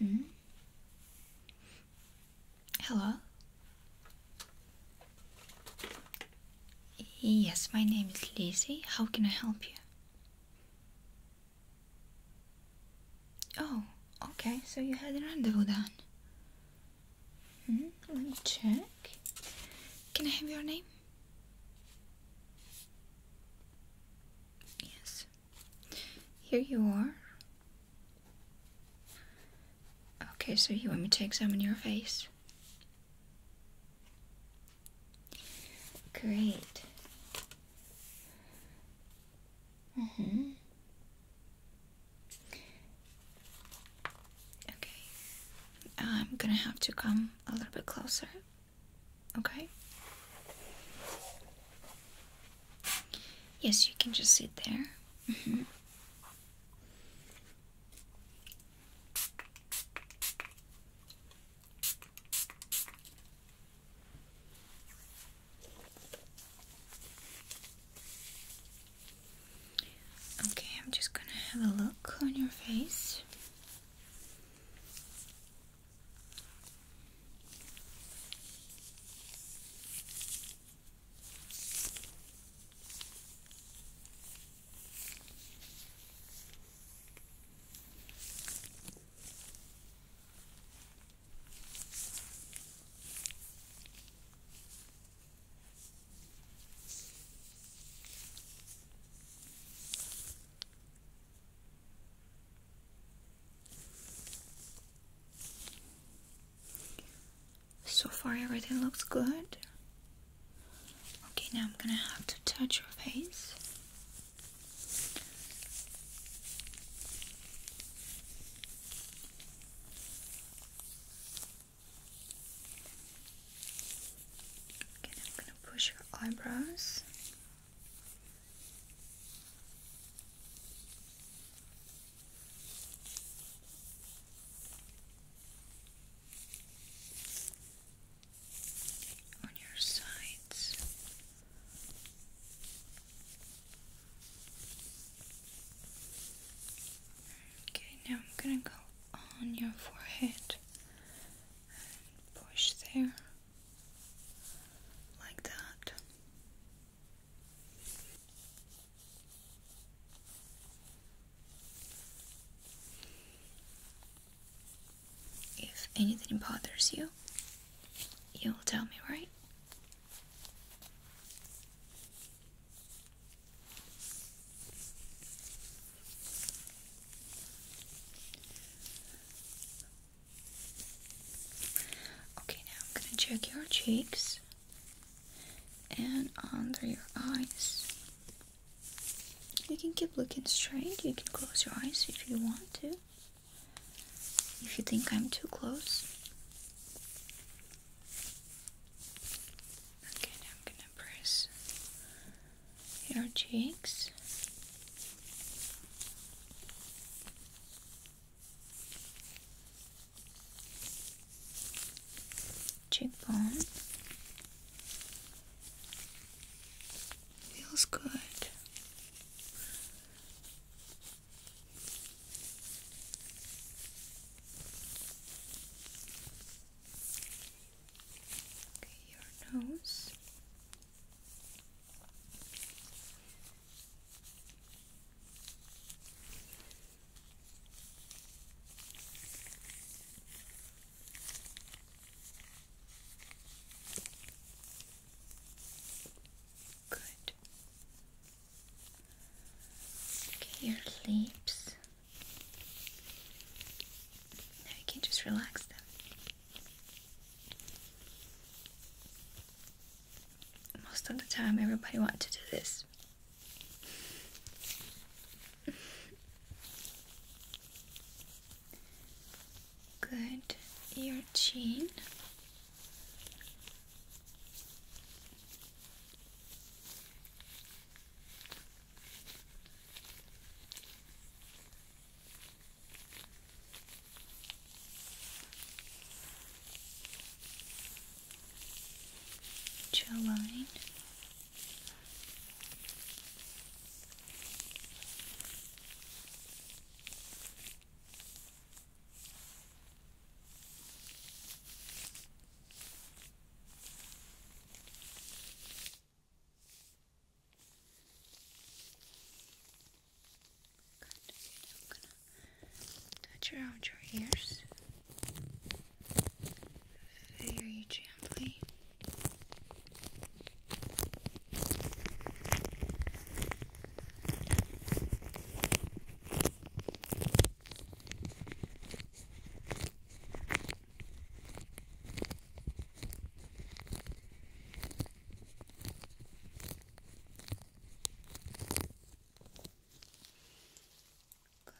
-hmm. Hello. Yes, my name is Lizzie. How can I help you? Oh, okay, so you had a rendezvous then. Mm-hmm. let me check. Can I have your name? Yes. Here you are. Okay, so you want me to examine your face? Great. Mm hmm Okay. I'm gonna have to come a little bit closer. Okay? Yes, you can just sit there. Mm -hmm. Okay, I'm just gonna have a look on your face. So far, everything looks good. Okay, now I'm gonna have to touch your face. Okay, now I'm gonna push your eyebrows on your sides. Okay, now I'm gonna go on your forehead and push there like that. If anything bothers you, you'll tell me, right? Okay, now I'm gonna check your cheeks and under your eyes. You can keep looking straight, you can close your eyes if you want to. If you think I'm too close. Okay, I'm gonna press your cheeks cheekbone. Feels good. Okay, your nose. Good. your lips. Now you can just relax them. Most of the time, everybody wants to do this. Good. Your chin. Jawline. Good. Now I'm gonna touch around your ears. Very gently.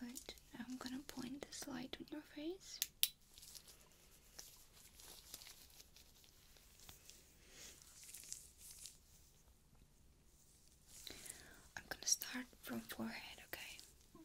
Good. I'm gonna point this light on your face. I'm gonna start from forehead, okay?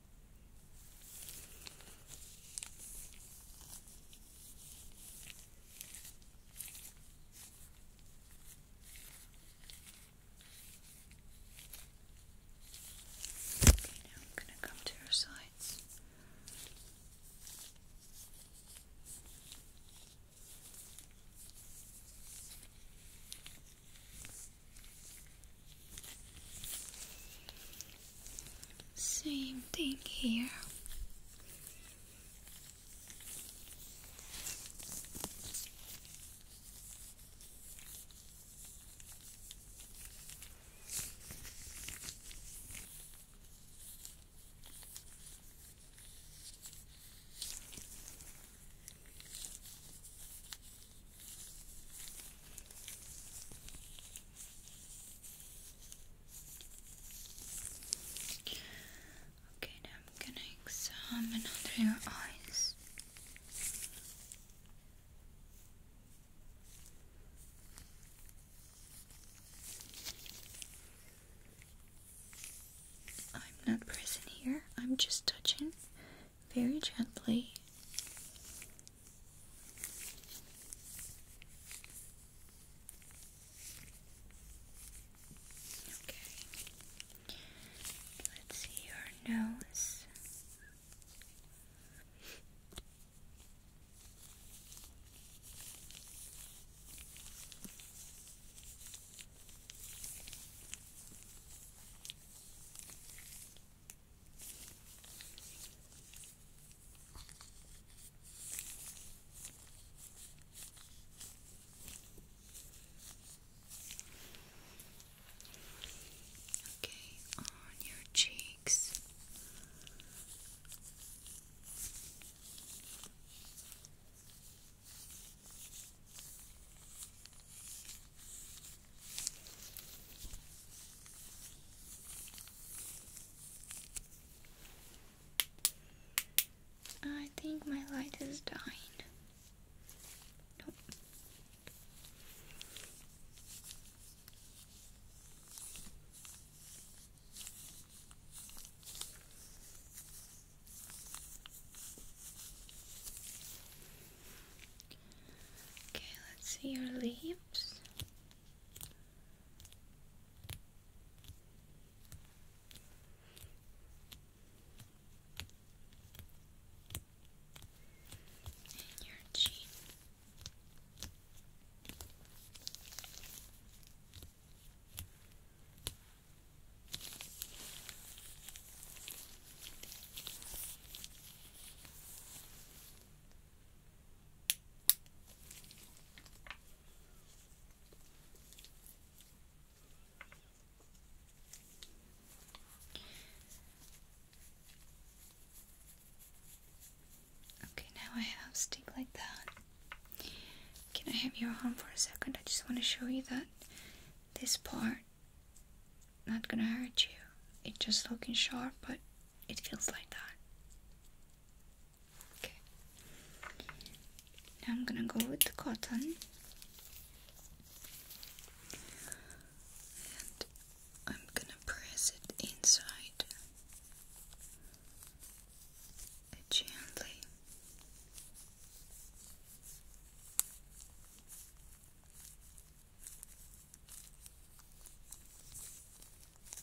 Okay, now I'm going to come to your sides. Same thing here. Okay, now I'm gonna examine under your eyes. I'm not pressing here, I'm just touching very gently Okay. Let's see your nose. Okay, on your cheeks. I think my light is dying. Okay, let's see your lips. And your chin. Your Okay, now I have stick like that. Can I have your arm for a second? I just want to show you that this part not gonna hurt you. It just looking sharp, but it feels like that. Okay. Now I'm gonna go with the cotton. And I'm gonna press it inside gently. Okay.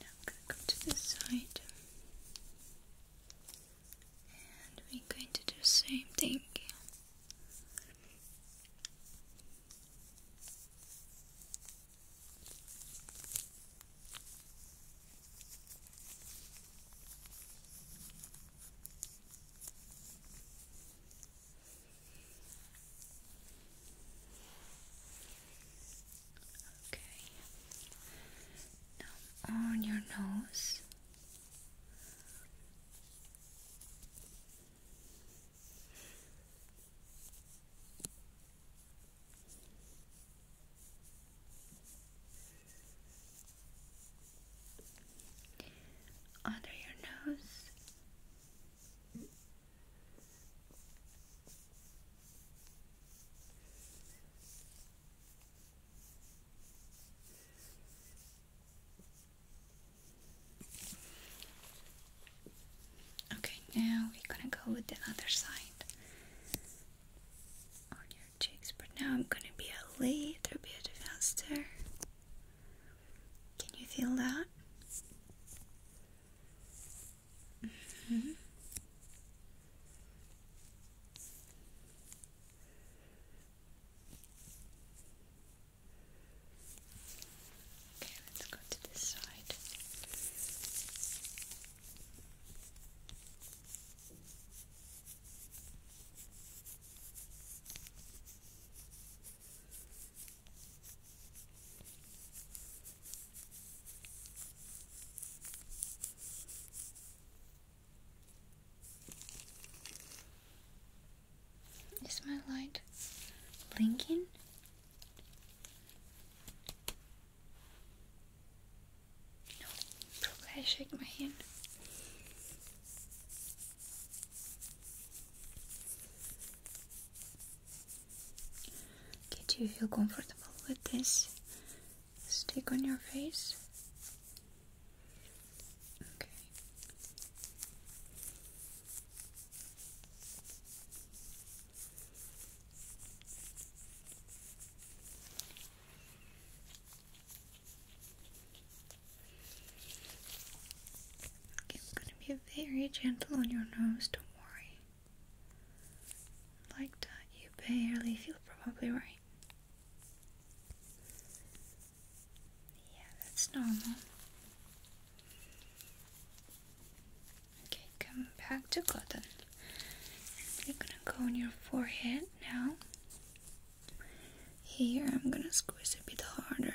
Now I'm to this side. And we're going to do the same thing. Okay. Now on your nose. Under your nose, Okay, now we're gonna go with the other side on your cheeks, but now I'm gonna be a little bit faster. Can you feel that? Mm-hmm. Okay, let's go to this side. Is my light blinking? No, probably I shake my hand. Okay, you feel comfortable with this stick on your face. Okay. I'm gonna be very gentle on your nose, don't worry like that you barely feel probably right. Yeah, that's normal. Okay, come back to cotton. You're gonna go on your forehead now. Here, I'm gonna squeeze a bit harder.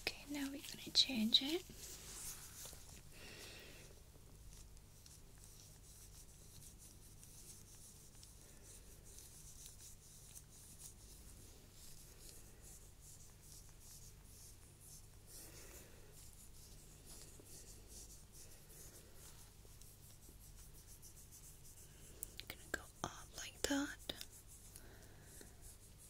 Okay, now we're gonna change it. Gonna go up like that.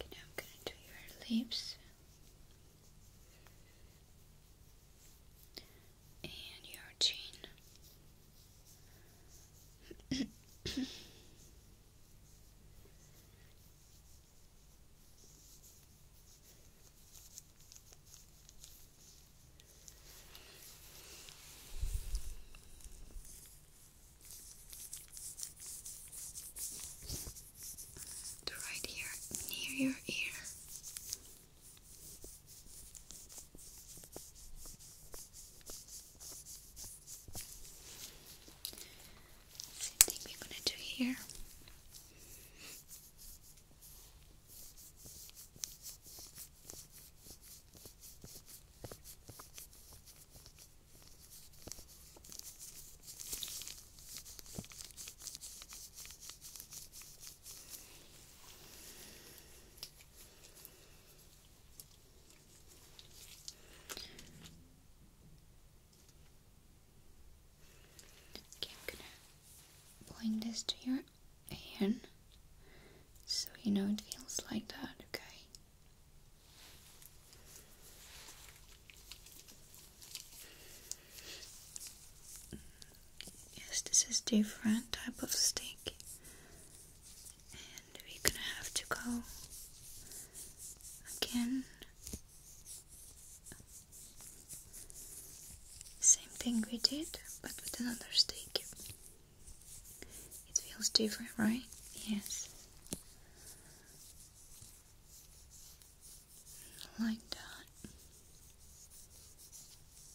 Okay, now I'm going to do your lips and your chin. right here near your ear. Same thing we're gonna do here. Okay, gonna Blend this to your hand so you know it feels like that, okay? Yes, this is different type of stick and we're gonna have to go again. Same thing we did, but with another stick. It feels different, right? Yes. Like that.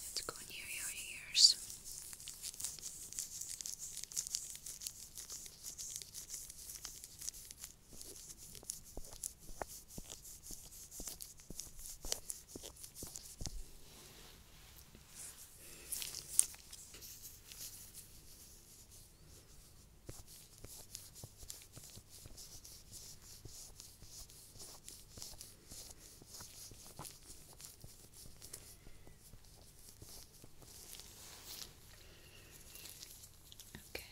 Let's go near your ears. Okay,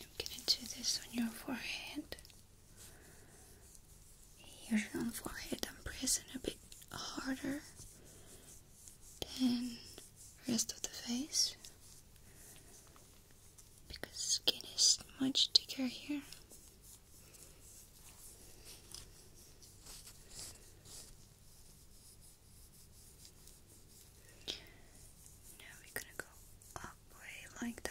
I'm gonna do this on your forehead. Here on the forehead, I'm pressing a bit harder than rest of the face because skin is much thicker here. Now we're gonna go up way like that.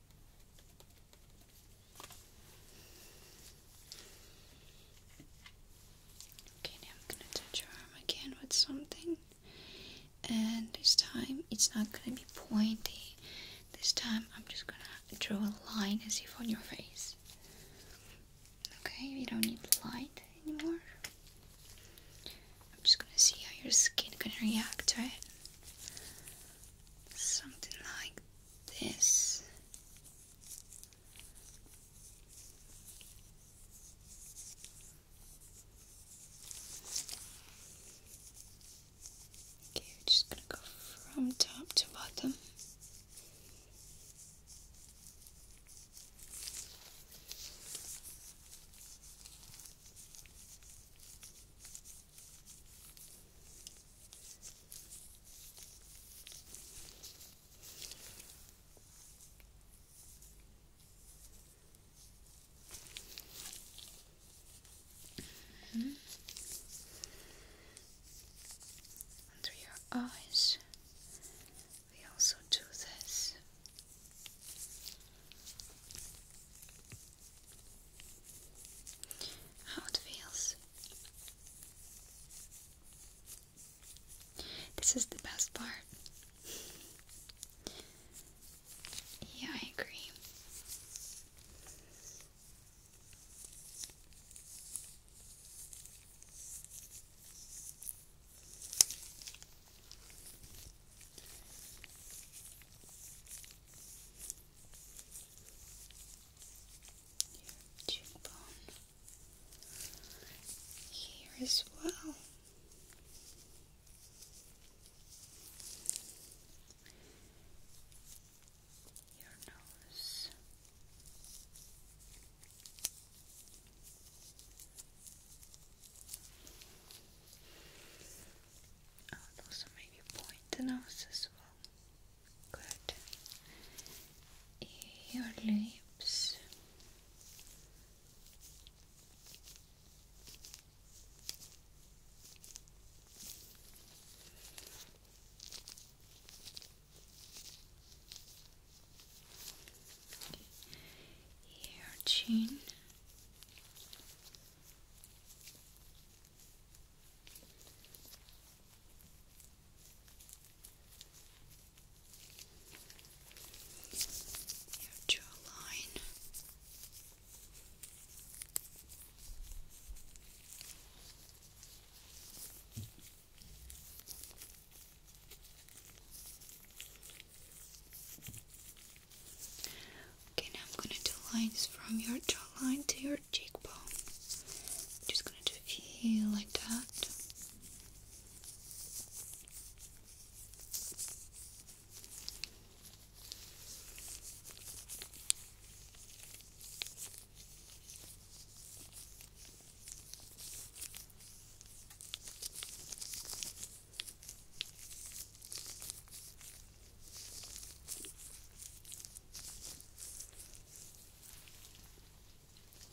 Okay, now I'm gonna touch your arm again with something, and this time it's not gonna be pointy. This time I'm just gonna draw a line as if on your face. Okay, we don't need light anymore. I'm just gonna see how your skin gonna react to it. Something like this. Okay, we're just gonna go from top to bottom. Under your eyes, we also do this. How it feels this is the best part. Yeah, I agree cheekbone here as well. Your nose. I would also maybe point the nose as well. Good. Your lips. Your chin your jawline. Okay, now I'm going to do lines from your jawline to your Jake Paul, just gonna do here like that.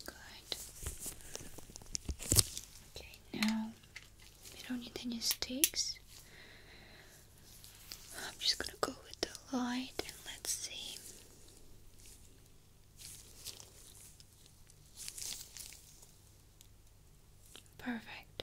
Good. Okay, now we don't need any sticks. I'm just gonna go with the light and let's see. Perfect.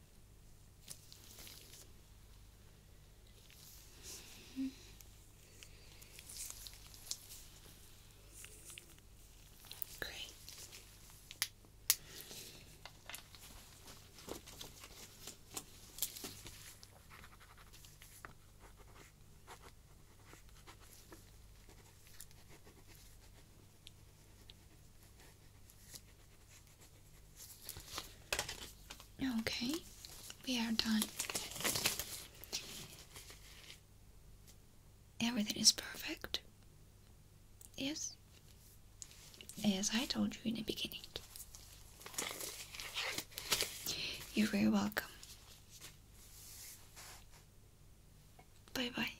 Mm -hmm. Great. Okay, we are done. Everything is perfect. Yes? As I told you in the beginning. You're very welcome. Bye bye.